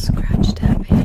scratch tapping.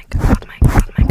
mic, hold the mic, hold the mic.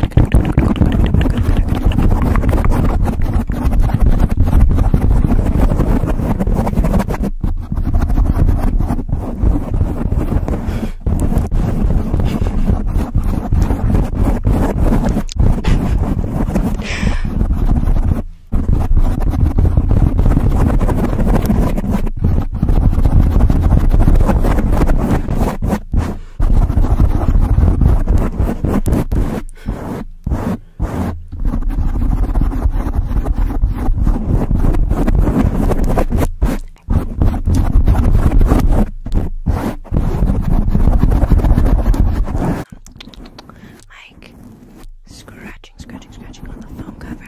Like scratching, scratching, scratching on the phone cover.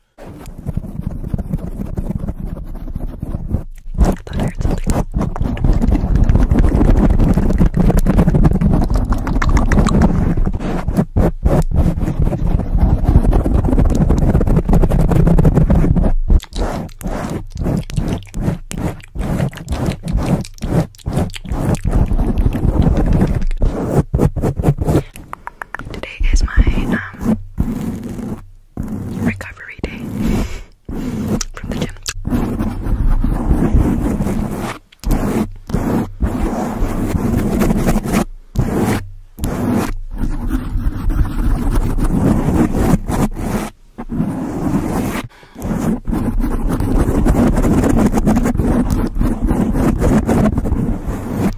thought I heard something. Today is my um recovery day from the gym.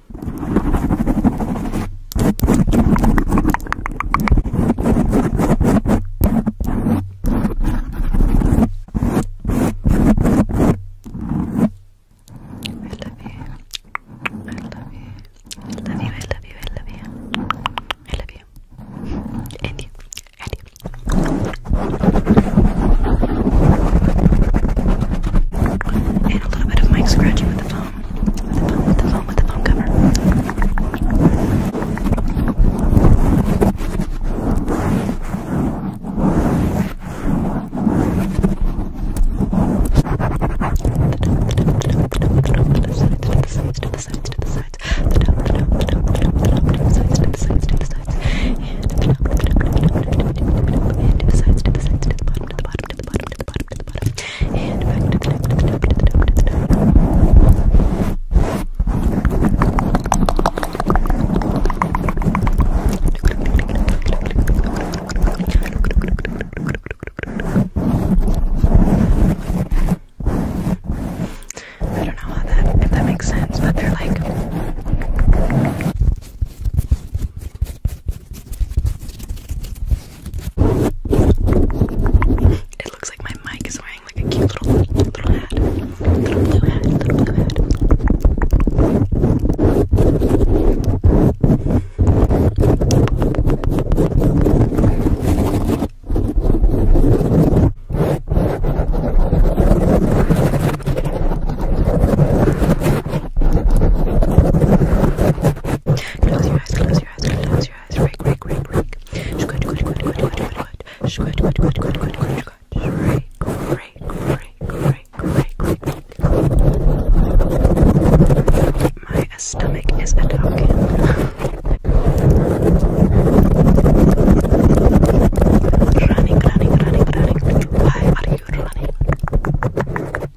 love you, I love you, I love you, I love you, and you, and you. And a little bit of mic scratching with the phone foam, with the foam, with the foam, with the foam cover. To the sides, to the sides, to the bottom, to the bottom, to the bottom, to the bottom, to the bottom, and back to the top, to the top, to the top, to the top. I don't know how that if that makes sense, but they're like it looks like my mic is wearing like a cute little little hat. Little blue hat, little blue hat. Close your eyes, close your eyes, close your eyes. Rake, rake, rake, rake. Squat, squat, squat, squat, squat, squat. Squat, squat, squat, squat, squat, squat, squat. Rake, rake, rake, rake, rake, My stomach is a dog. Running, running, running, running. Why are you running?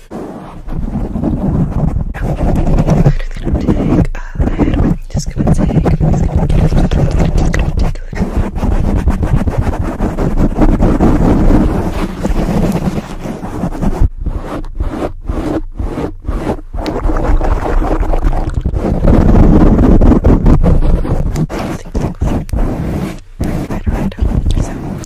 I'm just gonna take a little. I'm just gonna take. I'm just gonna take. I'm just gonna take, just gonna take a little. Right, right, right. So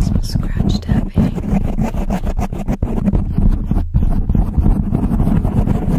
Some scratch tapping.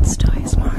It's Toy Smart.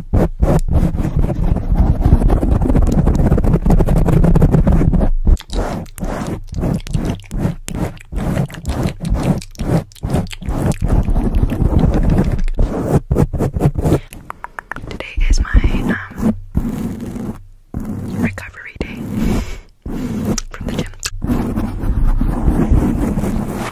Today is my um, recovery day from the gym.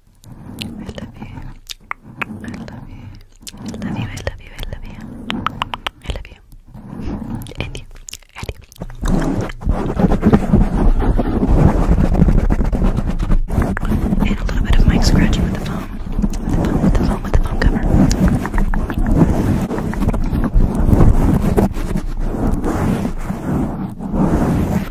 I love you. I love you. I love you. I love you. I love you. I love you. And you. And a little bit of mic scratching with the foam. With the foam, with the foam, with the foam cover.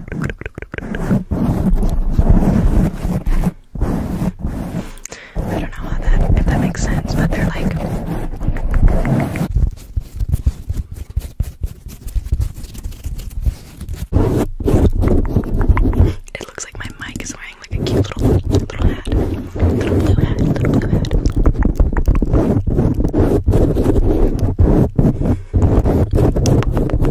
I don't know how that if that makes sense, but they're like it looks like my mic is wearing like a cute little little hat. Little blue hat, little blue hat. Close your eyes, close your eyes, close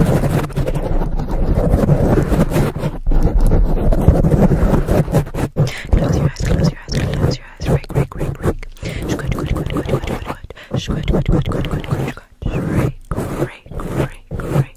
your eyes. Rake, rake, rake, rake. Squat, squat, squat, squat, squat, squat. Squat, squat, squat, squat, squat, squat. Rake, rake, rake, rake.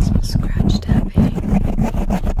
So scratch tapping. Just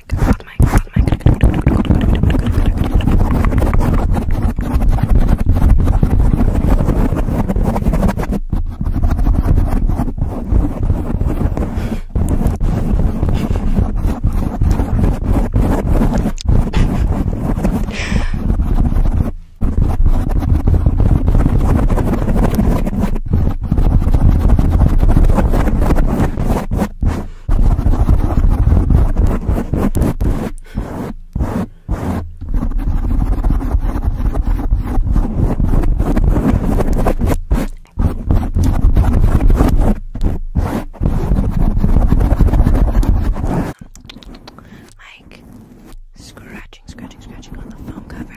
mic, hot mic, hot mic. Like scratching, scratching, scratching on the phone cover.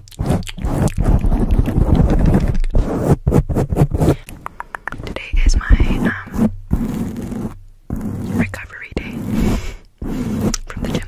Today is my um recovery day from the gym.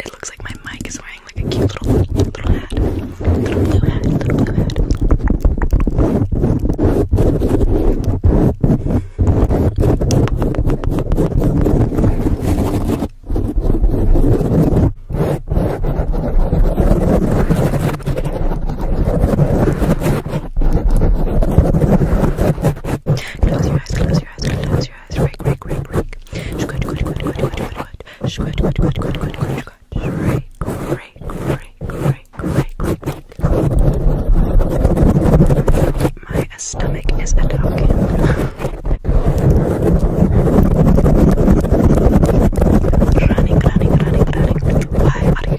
it looks like my mic is wearing like a cute little little hat, little blue hat, little blue hat. Close your eyes, close your eyes, close your eyes. Break, break, break, break. Squat, squat, squat, squat, squat, squat. Squat, squat, squat, squat, squat, squat, squat. Break, break, break, break, break, break. My stomach is a talking. Running, running, running, running. Why are you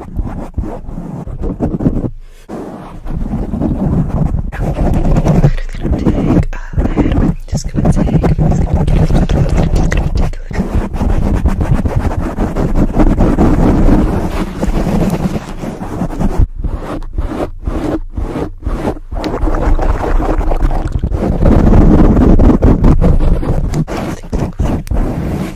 I'm just gonna take a little. Just gonna take. Just gonna take. Just gonna take a little. Think, think, think.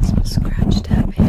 Some scratch tapping.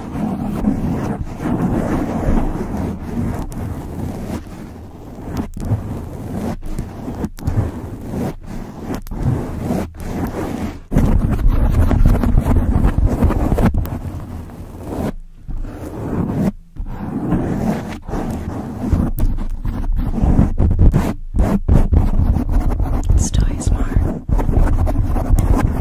It's Toy Smart.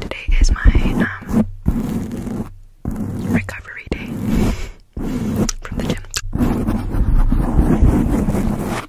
Today is my um recovery day from the gym.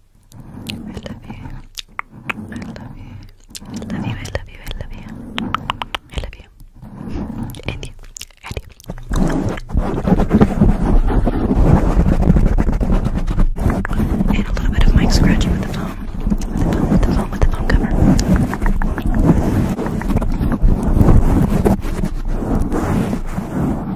I love you. I love you. I love you. I love you. I love you. I love you. And you. And a little bit of mic scratching with the phone. With the phone, with the phone, with the phone cover.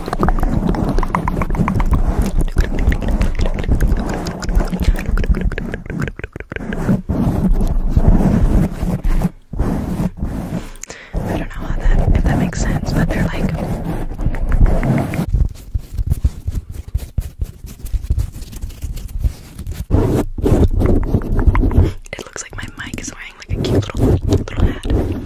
I don't know how that if that makes sense, but they're like it looks like my mic is wearing like a cute little hat.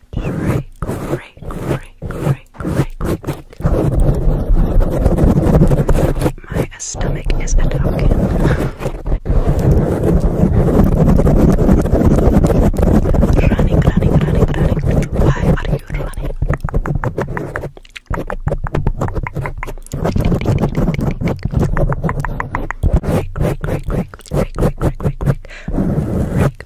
good. Great, great, great, great, great, great, great. My stomach is a talking. running, running, running, running. Why are you running? Quick, quick, quick, quick, quick, quick, quick, quick, quick, quick,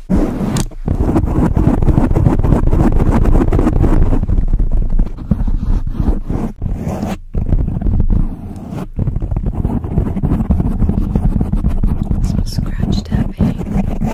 Some scratch tapping. Just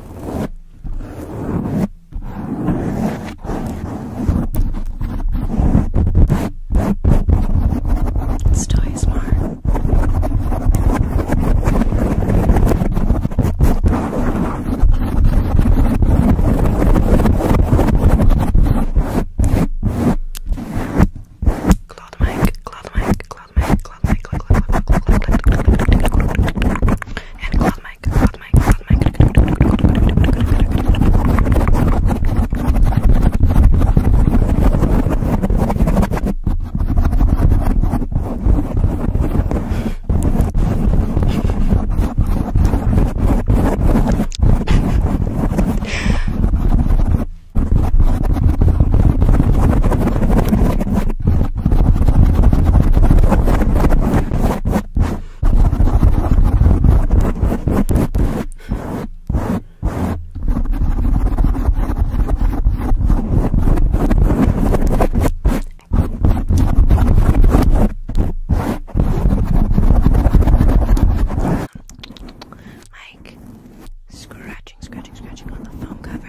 It's Toy Smart. Cloud mic, cloud mic, cloud mic, cloud mic, cloud mic, cloud mic, and cloud mic, cloud mic, cloud mic. Like scratching, scratching, scratching on the phone cover.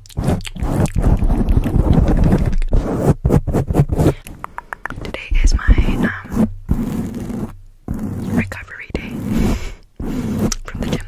Today is my um recovery day from the gym.